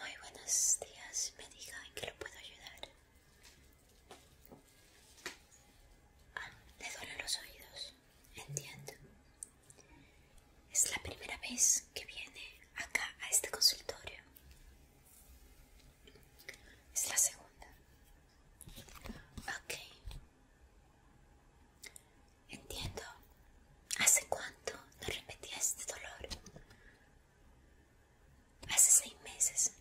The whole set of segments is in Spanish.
Muy buenos días, me diga en qué lo puedo ayudar. Ah, le duelen los oídos, entiendo. Es la primera vez que viene acá a este consultorio. Es la segunda. Ok. Entiendo. ¿Hace cuánto no repetía este dolor? Hace seis meses.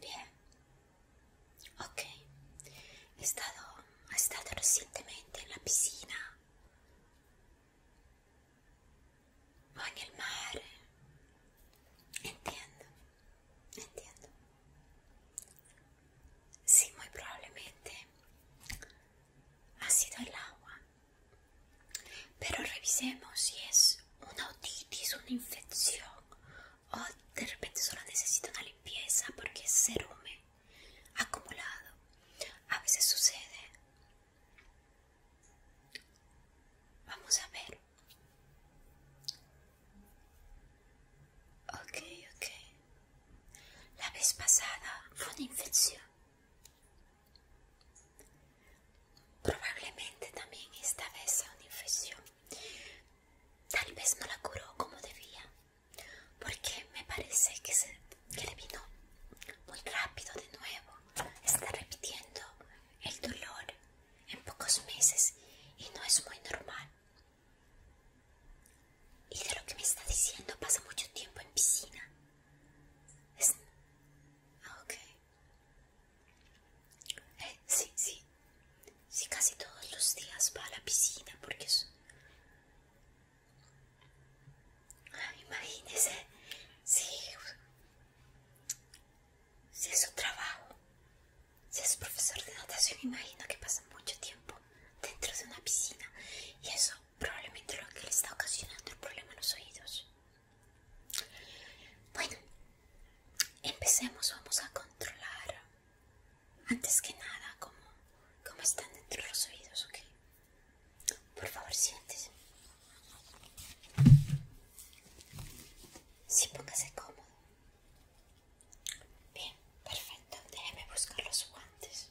Bien. Ok. He estado, he estado recientemente en la piscina. O en el mar. Entiendo. Entiendo. Sí, muy probablemente ha sido el agua. Pero revisemos si es una otitis, una infección o de repente solo necesita una limpieza porque es cerumen acumulado. A veces sucede. Vamos a ver. Ok, ok. La vez pasada fue una infección. Probablemente también esta vez sea una infección. Tal vez no la curó como debía, porque me parece que, se, que le vino muy rápido de nuevo. Está repitiendo el dolor en pocos meses y no es muy normal. Y de lo que me está diciendo pasa mucho tiempo en piscina. Ah, eh, sí, sí. Sí, casi todos los días va a la piscina porque ah, imagínese. Sí. Si es su trabajo, si es profesor de natación, imagino que pasa mucho tiempo dentro de una piscina y eso probablemente lo que le está ocasionando el problema en los oídos. Bueno, empecemos, vamos a controlar antes que nada cómo, están dentro los oídos, ¿ok? Por favor, siéntese. Sí, póngase cómodo. Bien, perfecto. Déjeme buscar los guantes.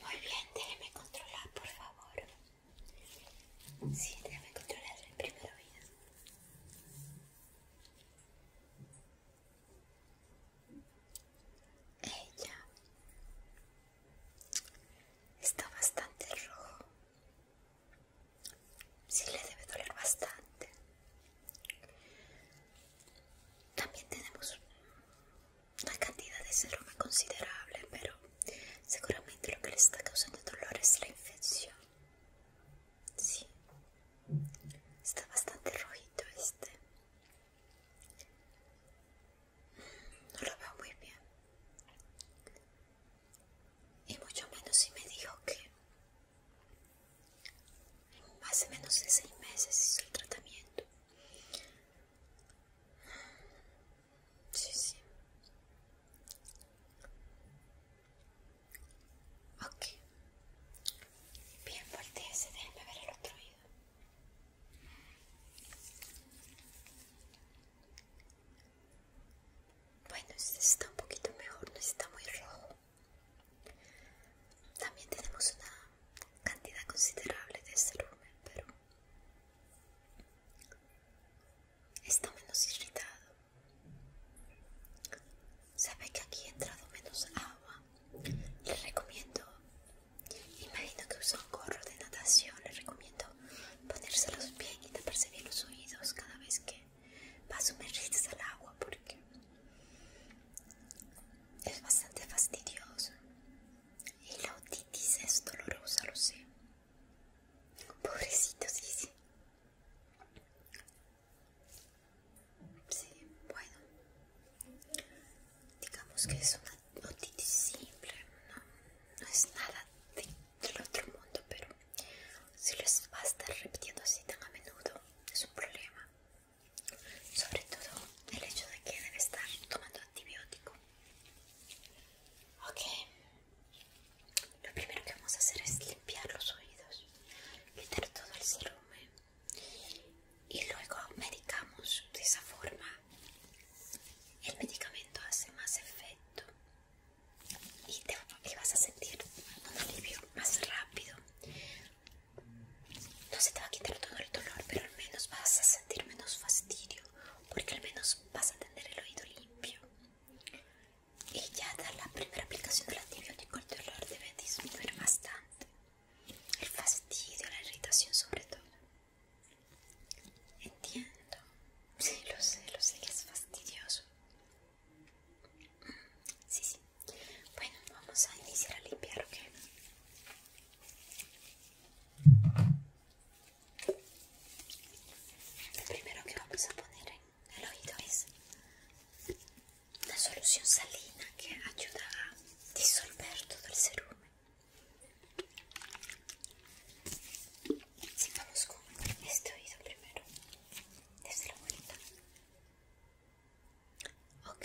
Muy bien, déjeme controlar, por favor. Sí, debe controlar el primer oído. Ella eh, está bastante rojo. Sí, le debe doler bastante. También tenemos una cantidad de seroma considerable, pero seguramente lo que le está causando dolor es la infección. Sí, está bastante rojito este. Mm, no lo veo muy bien. Y mucho menos si me dijo que hace menos de seis meses hizo el tratamiento. Sí, sí. Ok. Bien fuerte ese, déjenme ver el otro oído. Bueno, este está un poquito mejor, no está muy rojo. También tenemos una cantidad considerable de cerumen, pero Está menos irritado. Sabe que aquí ha entrado menos agua. Le recomiendo, imagino que usa un gorro de natación, le recomiendo ponérselos bien y taparse bien los oídos cada vez que va a sumergirse al agua porque es bastante fastidioso. Y la otitis es dolorosa, lo sé. Pobrecito, sí, sí. Sí, bueno. Digamos que es una otitis simple, no, es nada del otro mundo, pero si les va a estar repitiendo así tan a menudo, es un problema. Sobre todo el hecho de que debe estar tomando antibiótico. Ok, lo primero que vamos a hacer es limpiar los oídos, quitar todo el cerumen y luego medicamos de esa forma. El medicamento hace más efecto y, vas a sentir un alivio más rápido. No se te va a quitar todo el dolor, pero al menos vas a sentir menos fastidio porque al menos vas a tener el oído limpio y ya dar la primera aplicación del antibiótico de dolor debe disminuir bastante el fastidio, la irritación sobre todo entiendo sí, lo sé, lo sé que es fastidioso sí, sí bueno, vamos a iniciar a limpiar, ¿ok? el primero que vamos a poner en el oído es una solución salina que ayuda a disolver todo el cerumen. Si vamos con este oído primero, desde la vuelta. Ok,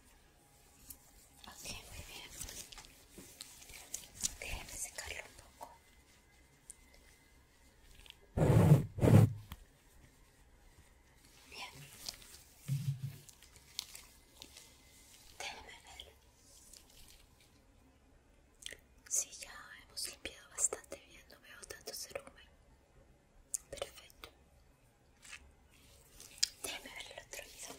Ok, muy bien. Déjeme secarlo un poco. Bien. Déjeme ver. Sí, ya hemos limpiado bastante bien. No veo tanto cerumen. Perfecto. Déjame ver el otro oído.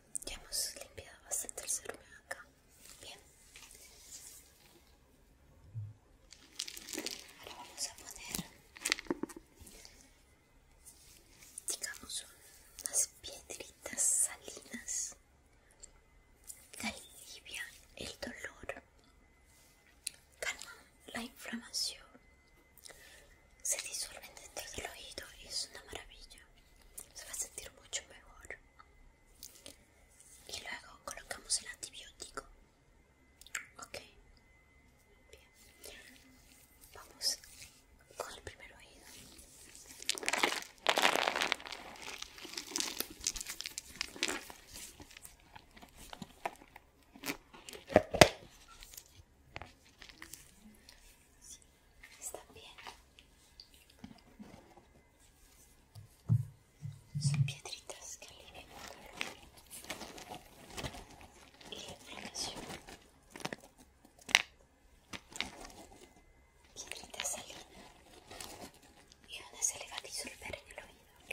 Ya hemos limpiado bastante el cerumen acá. Bien. Ahora vamos a poner, digamos, unas piedritas salinas que alivian el dolor, calma la inflamación, se disuelven dentro del oído y es una maravilla. Se va a sentir mucho mejor. Y luego colocamos el antibiótico. Ok. Bien. Vamos con el primer oído. Están bien. Son piedritas que alivian el calor y la inflamación. Piedritas salina y una se le va a disolver en el oído, ¿ok?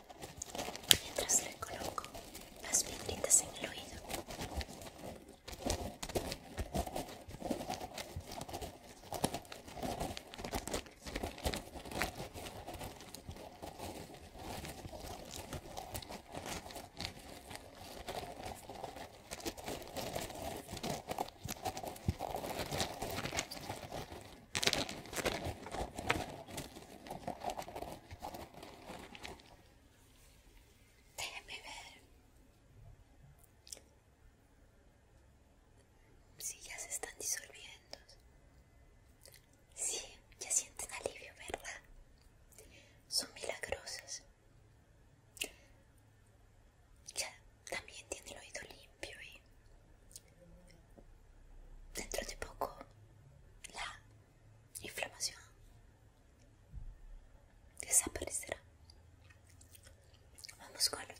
mientras le coloco las piedritas en el oído. Déjenme ver si ya se están disolviendo. Sí, ya sienten alivio, ¿verdad? Son milagrosas. Ya también tiene el oído limpio y dentro de poco la inflamación desaparecerá. Vamos con otro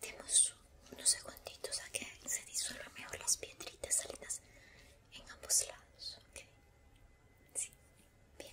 Demos unos segunditos a que se disuelvan mejor las piedritas salidas en ambos lados, Sí, bien.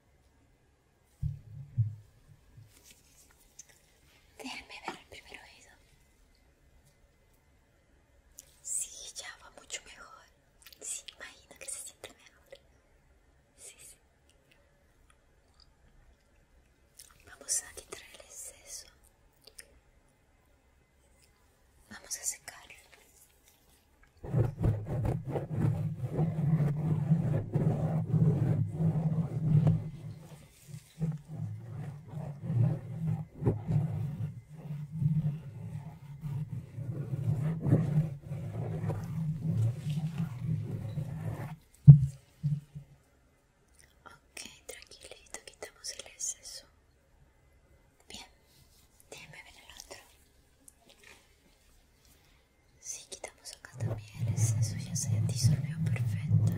Déjame ver el primer oído. Sí, ya va mucho mejor. Sí, imagino que se siente mejor. Sí, sí. Vamos a quitar el exceso. Vamos a secarlo. Ok, tranquilito, quitamos el exceso. Bien, déjeme ver el otro. Si quitamos acá también, exceso ya se disolvió perfecto.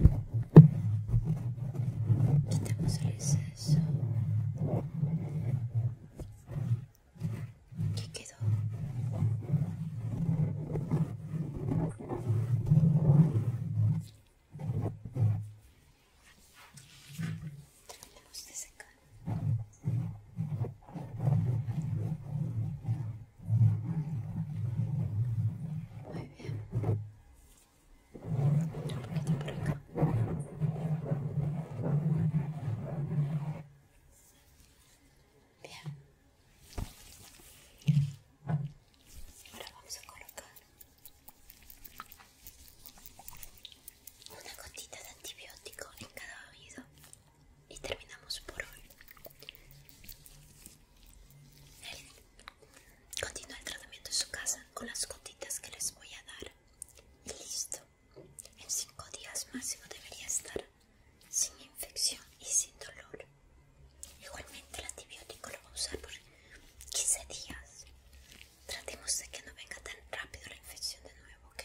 Quitamos el exceso. ¿Qué quedó? Vamos de secar. Muy bien. por acá. Bien. Ahora vamos a colocar una gotita de antibiótico en cada oído y terminamos por hoy. continúa el tratamiento en su casa con las gotitas que les voy a dar. Y listo. En 5 días máximo debería estar sin infección y sin dolor. Igualmente el antibiótico lo va a usar por 15 días. Tratemos de que no venga tan rápido la infección de nuevo, ¿ok?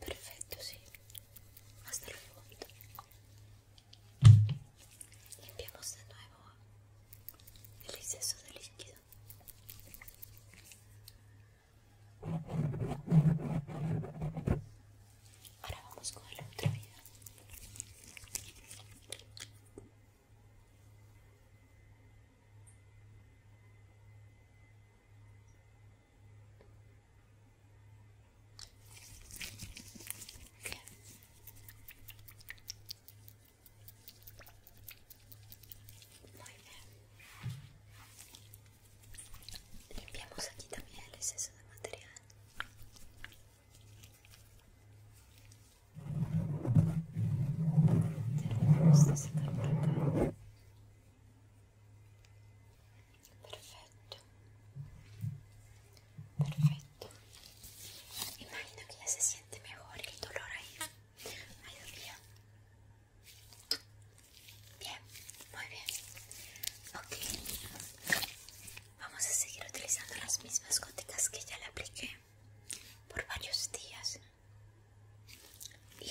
Perfecto, sí. Hasta fondo. Limpiamos de nuevo el exceso de líquido. Ahora vamos con el otro video. Muy bien. Limpiamos aquí también el exceso de material. Terminamos de acá. Perfecto. Perfecto. Imagino que ya se siente mejor el dolor ahí. Bien, muy bien. Ok. Vamos a seguir utilizando las mismas gotitas que ya le apliqué por varios días. Y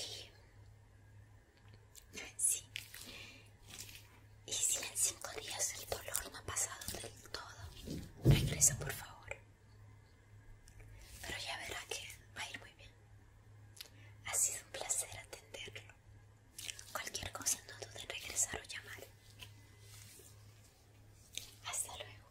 Sí. Y si en cinco días el dolor no ha pasado del todo, regresa por favor. Pero ya verá que va a ir muy bien. Ha sido un placer atenderlo. Cualquier cosa no dude en regresar o llamar. Hasta luego.